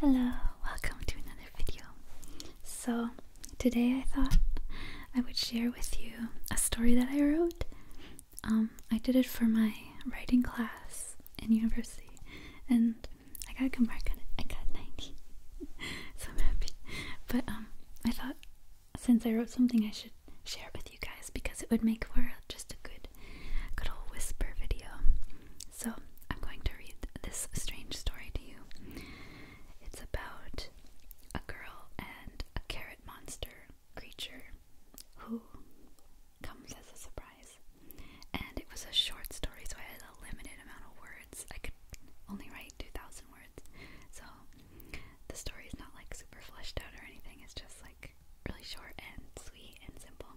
Hello, welcome to another video. So, today I thought I would share with you a story that I wrote. Um, I did it for my writing class in university, and I got a good mark on it. I got 90, so I'm happy. But um, I thought since I wrote something, I should share it with you guys because it would make for just a good, good old whisper video. So, I'm going to read this strange story to you. It's about a girl and a carrot monster creature who comes as a surprise. And it was a short story, so I had a limited amount of words. I could only write 2,000 words. So, the story is not like super fleshed out or anything, it's just like really short and sweet and simple.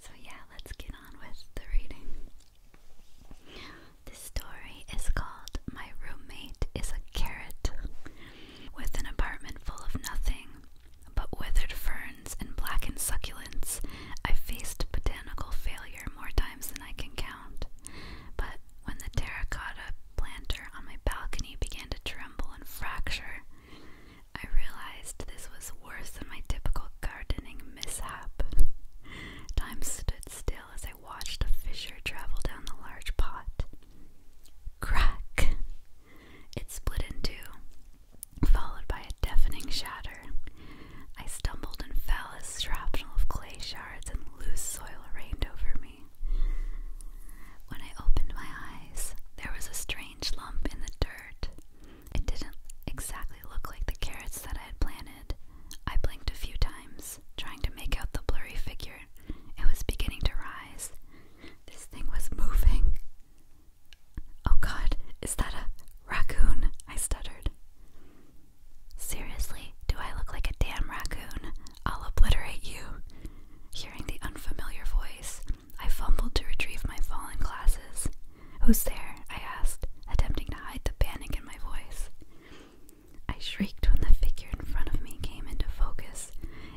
So yeah, let's get on with the reading. This story is called My Roommate is a Carrot. With an apartment full of nothing but withered ferns and blackened succulents, I faced botanical failure more times than I can count. But when the terracotta planter on my balcony began to tremble and fracture, I realized this was worse than my typical gardening mishap. Time stood still as I watched a fissure travel down the large pot. Crack! It split in two, followed by a deafening shatter. I stumbled and fell as shrapnel of clay shards and loose soil rained over me. When I opened my eyes, there was a strange strange lump in the dirt. It didn't exactly look like the carrots that I had planted. I blinked a few times, trying to make out the blurry figure. It was beginning to rise. This thing was moving. Oh god, is that a raccoon? I stuttered. Seriously, do I look like a damn raccoon? I'll obliterate you. Hearing the unfamiliar voice, I fumbled to retrieve my fallen glasses. Who's there? I asked, attempting to hide the panic in my voice. I shrieked when the figure in front of me came into focus.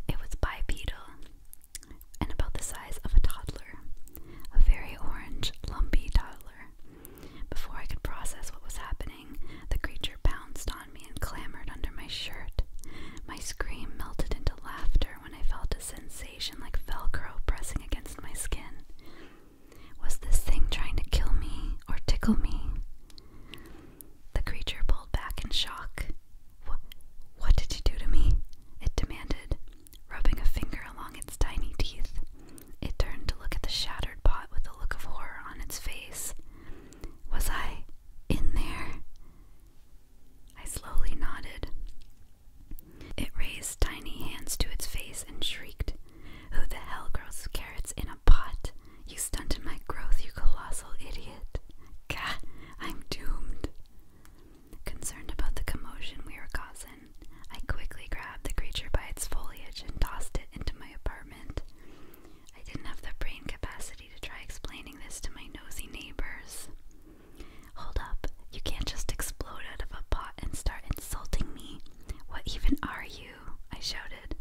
It was bipedal and about the size of a toddler, a very orange, lumpy toddler. Before I could process what was happening, the creature pounced on me and clambered under my shirt. My scream melted into laughter when I felt a sensation like Velcro pressing against my skin. Was this thing trying to kill me or tickle me? The creature pulled back in shock. What, what did you do to me? It demanded, rubbing a finger along its tiny teeth. It turned to look at the shattered pot with a look of horror on its face. Was I in there? I slowly nodded. It raised tiny hands to its face and shrieked, Who the hell grows carrots in a pot? You stunted my growth, you colossal idiot. Gah, I'm doomed. Concerned about the commotion we were causing, I quickly grabbed the creature by its foliage and tossed it into my apartment. I didn't have the brain capacity audacity to try explaining this to my nosy neighbors. Hold up, you can't just explode out of a pot and start insulting me. What even are you? I shouted.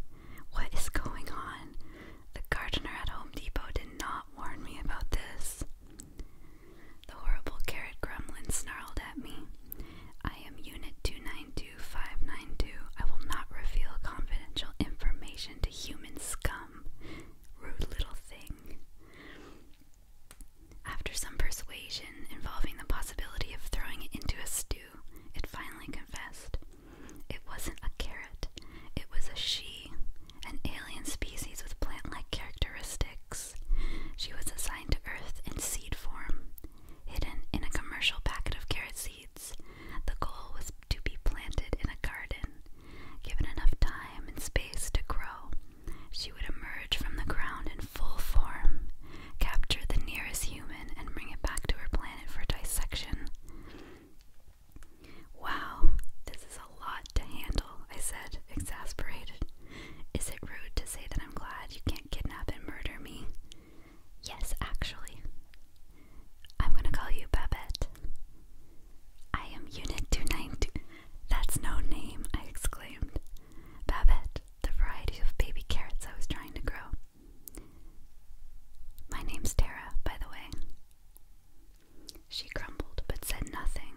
What is going on? The gardener at Home Depot did not warn me about this. The horrible carrot gremlin snarled at me. I am Unit 292592. I will not reveal confidential information to human scum rude little thing. After some persuasion involving the possibility of throwing it into a stew, it finally confessed. It wasn't a carrot, it was a she, an alien species with plant like characteristics. She was assigned to Earth in seed form, hidden in a commercial packet of carrot seeds the goal was to be planted in a garden. Given enough time and space to grow, she would emerge from the ground in full form, capture the nearest human, and bring it back to her planet for dissection. Wow, this is a lot to handle, I said, exasperated. Is it rude to say that I'm glad you can't kidnap and murder me? Yes, actually. I'm gonna call you Babette. I am Unit 292. That's no name, I exclaimed. Babette, the variety of baby carrots I was trying to grow. My name's Tara, by the way. She grumbled but said nothing.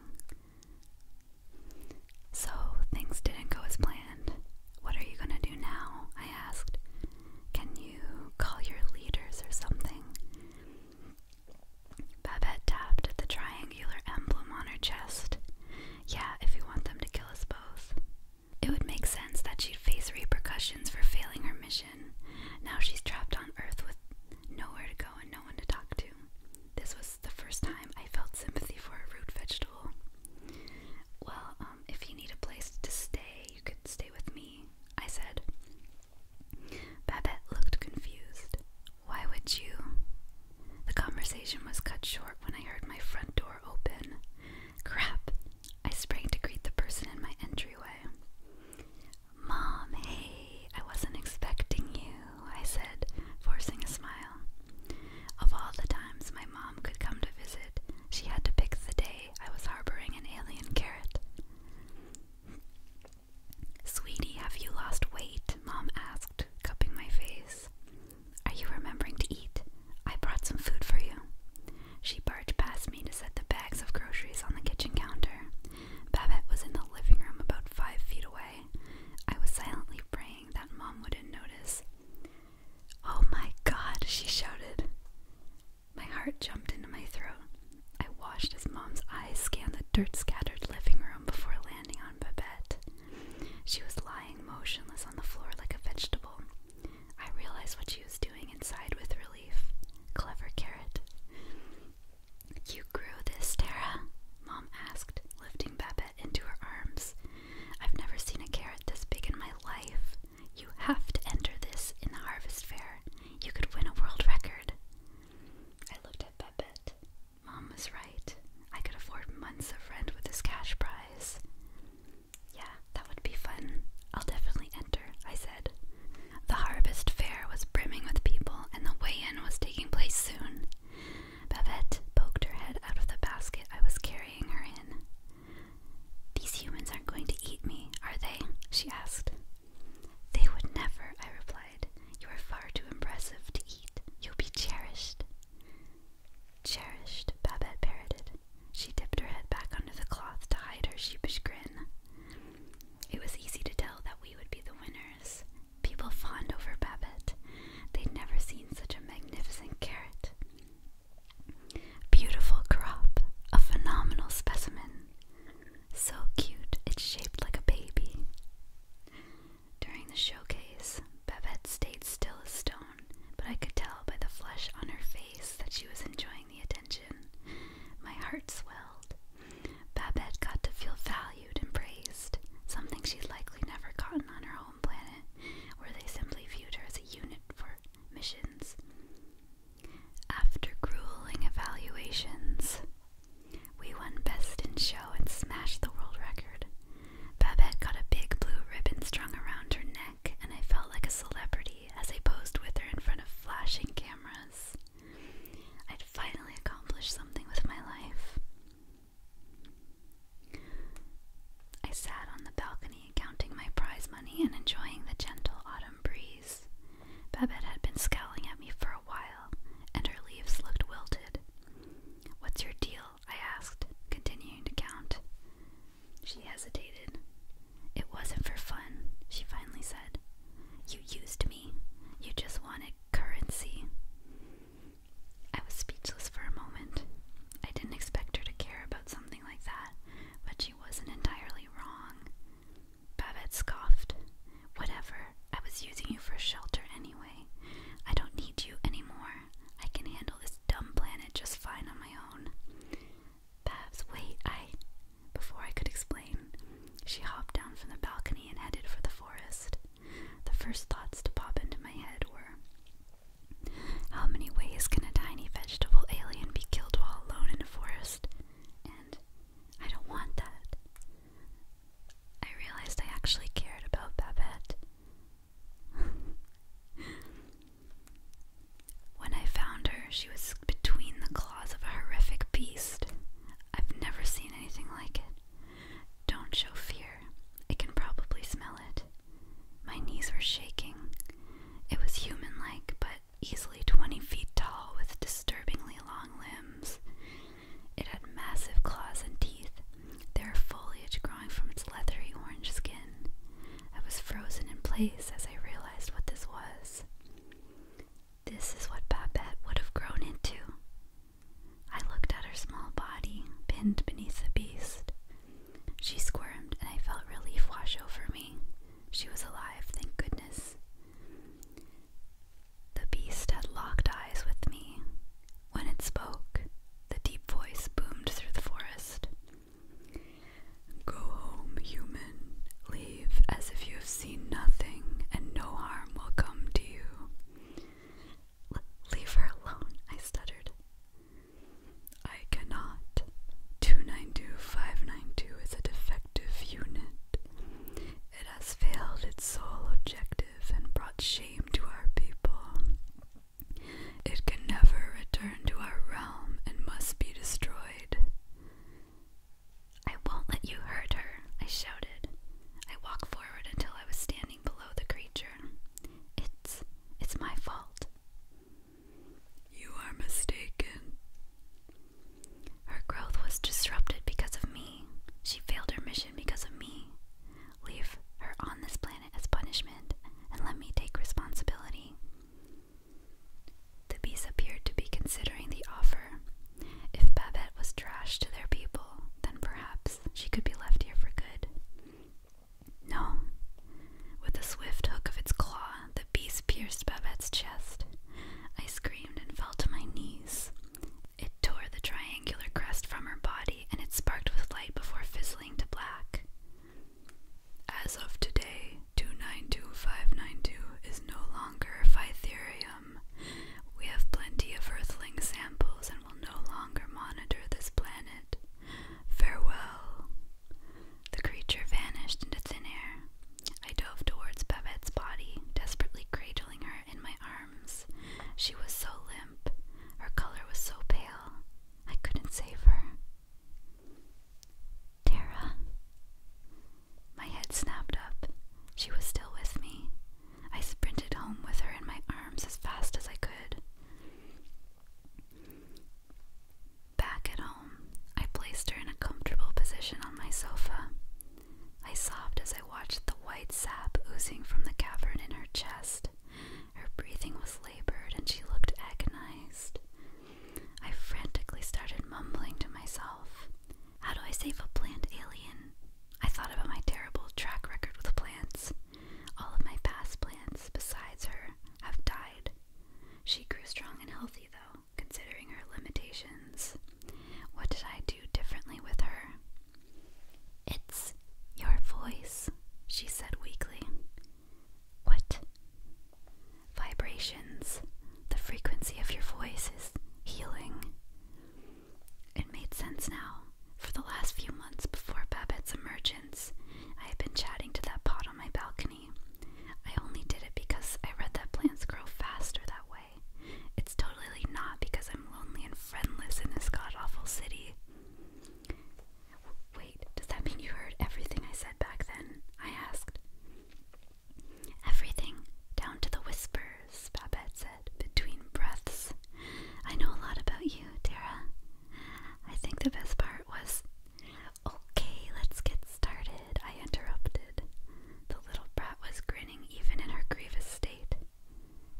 So things didn't go as planned. What are you gonna do now? I asked. Can you call your leaders or something? Babette tapped at the triangular emblem on her chest. Yeah, if you want them to kill us both. It would make sense that she'd face repercussions for failing her mission. Now she's trapped on Earth with nowhere to go and no one to talk to. This was the first time I felt sympathy for a root vegetable. Well, um, if you need a place to stay, you could stay with me. I said. Babette looked confused. Why would you? The conversation was cut short when I heard my front door open. Crap! I sprang to greet the person in my entryway. Mom, hey, I wasn't expecting you, I said, forcing a smile. Of all the times my mom could come to visit, she had to pick the day I was harboring an alien carrot. Sweetie, have you lost weight? Mom asked, cupping my face. Are you remembering to eat? I brought some food for you. She barged past me to set the bags of groceries on the kitchen counter. Babette was in the living room about five feet away. I was silently praying that Mom wouldn't notice. Oh my god, she shouted. My heart jumped into my throat. I watched as Mom's eyes scanned the dirt scattered living room before landing on Babette. She was lying motionless on the floor like a vegetable. I realized what she was doing inside with relief. Clever carrot. You grew this, Tara? Mom asked, lifting Babette into her arms. I've never seen a carrot this big in my life. You have to enter this in the harvest fair. You could win a world record. I looked at Babette. Mom was right. I could afford months of rent with this cash prize. Yeah, that would be fun. I'll definitely enter, I said. The harvest fair was brimming with people, and the weigh in was taking place soon. Babette poked her head out of the basket I was carrying her in. These humans aren't going to eat me, are they? she asked. They would never, I replied. You are far too impressive to eat. You'll be cherished. Cherished, Babette parroted. She dipped her head back under the cloth to hide her sheepish grin. It was easy to tell that we would be the winners. People fawned over Babette. They'd never seen such a magnificent carrot. Beautiful crop, a phenomenal specimen. So cute, it's shaped like a baby. During the showcase, Babette stayed still as stone, but I could tell by the flush on her face that she was enjoying the attention. My heart swelled. Babette got to feel valued and praised, something she'd likely never gotten on her home planet, where they simply viewed her as a unit for missions. After grueling evaluations, we won Best in Show and smashed the world record. Babette got a big blue ribbon strung around her neck, and I felt like a celebrity as I posed with her in front of flashing cameras. I'd finally accomplished something with my life. I sat on the balcony counting my prize money and enjoying the gentle autumn breeze. Babette had been scowling at me for a while, and her leaves looked wilted. What's your deal? I asked, continuing to count. She hesitated. It wasn't for fun, she finally said. You used me. You just wanted currency. I was speechless for a moment. I didn't expect her to care about something something like that, but she wasn't entirely wrong. Babette scoffed. Whatever, I was using you for shelter anyway. I don't need you anymore. I can handle this dumb planet just fine on my own. Babs, wait, I. Before I could explain, she hopped down from the balcony and headed for the forest. The first thoughts to pop into my head were how many ways can a tiny vegetable alien be killed while alone in a forest? And I don't want that. I realized I actually cared about Babette. when I found her, she was between the claws of a horrific beast. I've never seen anything like it. Don't show fear. I can probably smell it. My knees were shaking. It was human like, but easily 20 feet tall with disturbingly long limbs. It had massive claws and teeth, their foliage growing from its leathery orange skin. I was frozen in place as I realized what this was. This is what Babette would have grown into. I looked at her small body, pinned beneath the beast. She squirmed, and I felt relief wash over me. She was alive, thank goodness. The beast had locked eyes with me. When it spoke, the deep voice boomed through the forest. Go home, human. Leave as if you have seen nothing, and no harm will come to you. leave her alone, I stuttered. I cannot. 292592 is a defective unit. It has failed its sole objective and brought shame to our people. It can never return to our realm and must be destroyed. I won't let you hurt her, I shouted. I walked forward until I was standing below the creature. It's it's my fault. You are mistaken. Her growth was disrupted because of me. She failed her mission because of me. Leave her on this planet as punishment and let me take responsibility. The beast appeared to be considering the offer. If Babette was trashed to their people, then perhaps she could be left here for good. No. With a swift hook of its claw, the beast pierced Babette's chest. I screamed and fell to my knees. It tore the triangular crest from her body, and it sparked with light before fizzling to black. As of today, 292592 is no longer Phytherium. We have plenty of earthling samples, will no longer monitor this planet. Farewell. The creature vanished into thin air. I dove towards Babette's body, desperately cradling her in my arms. She was so limp, her color was so pale, I couldn't save her. Tara. My head snapped up. She was still with me. I sprinted home with her in my arms as fast as I could. Back at home, I placed her in a comfortable position on my sofa. I sobbed as I watched the white sap oozing from the cavern in her chest. Her breathing was labored and she looked agonized. I frantically started mumbling to myself How do I save a plant alien? I thought about my terrible track record with plants. All of my past plants, besides her, have died. She grew strong and healthy, though, considering her limitations. What did I do differently with her? It's your voice, she said weakly. What? Vibrations. The frequency of your voice is healing. It made sense now. For the last few months before Babette's emergence, I had been chatting to that pot on my balcony. I only did it because I read that plants grow faster that way. It's totally not because I'm lonely and friendless in this god awful city. Wait, does that mean you heard everything I said back then? I asked. Everything, down to the whisper Babette said between breaths. I know a lot about you, Tara. I think the best part was. Okay, let's get started, I interrupted. The little brat was grinning even in her grievous state.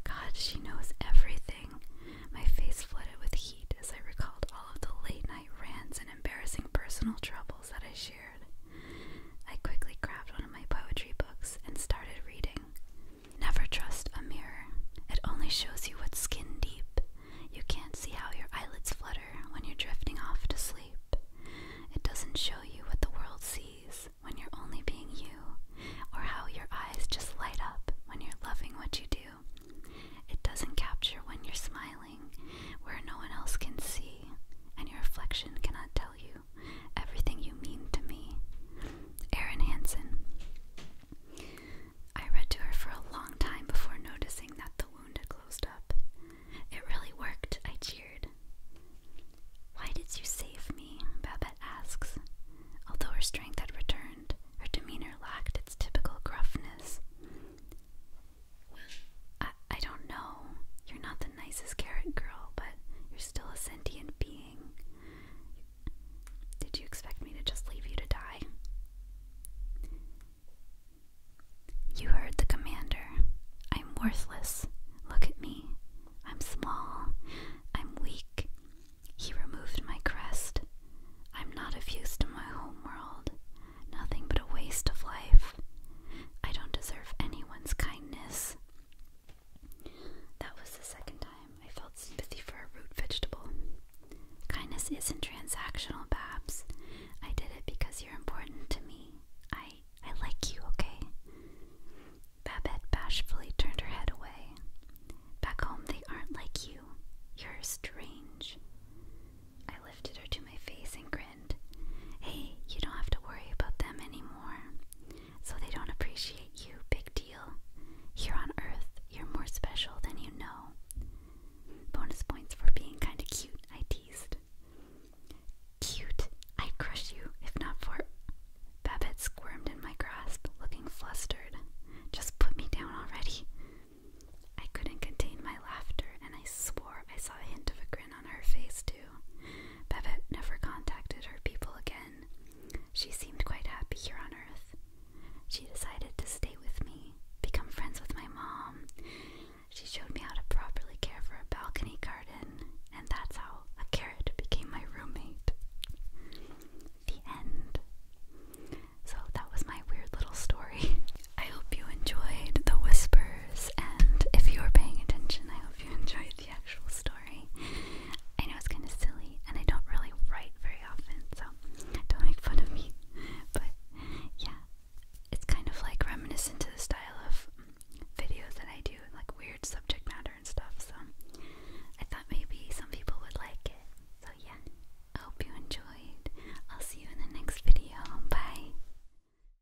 God, she knows everything. My face flooded with heat as I recalled all of the late night rants and embarrassing personal troubles that I shared. I quickly grabbed one of my poetry books and started reading. Never trust a mirror. It only shows you what's skin deep. You can't see how your eyelids flutter when you're drifting off to sleep. It doesn't show you what the world sees when you're only being you, or how your eyes just light up when you're loving what you do. It doesn't capture when you're smiling, where no one else can see, and your reflection cannot tell you everything you mean to me. Erin Hansen. I read to her for a long time before noticing that the wound had closed up. It really worked, I cheered. Why did you save me? Babette asks. Although her strength had returned, her demeanor lacked its typical gruffness. I, I don't know. You're not nicest carrot girl, but you're still a sentient being. Did you expect me to just leave you to die? You heard the commander. I'm worthless. Look at me. I'm small. I'm weak. He removed my crest. I'm not of use to my home world. Nothing but a waste of life. I don't deserve anyone's kindness. That was the second time I felt sympathy for a root vegetable. Kindness isn't transactional, Babs. I did it because you're important to me. I I like you, okay? Babette bashfully turned her head away. Back home they aren't like you. You're strange. I lifted her to my face and grinned hey, you don't have to worry about them anymore. So they don't appreciate you, big deal. Here on Earth, you're more special than you know. Bonus points for being kinda cute, I teased. Cute, i crush you if not for. Babette squirmed in my grasp, looking flustered. Just put me down already. I couldn't contain my laughter, and I swore I saw a hint of a grin on her face, too. Babette never contacted her people again. She seemed quite happy here on Earth. She decided to stay with me, become friends with my mom. She showed me how to properly care for a balcony garden, and that's how a carrot became my roommate. The end. So that was my weird little story. I hope you enjoyed the whisper and if you are paying attention, I hope you enjoyed the actual story. I know it's kind of silly, and I don't really write very often, so don't make fun of me. But yeah, it's kind of like reminiscent to the style of videos that I do, like weird subject matter and stuff. So I thought maybe some people would like it. So yeah, I hope you enjoyed. I'll see you in the next video. Bye.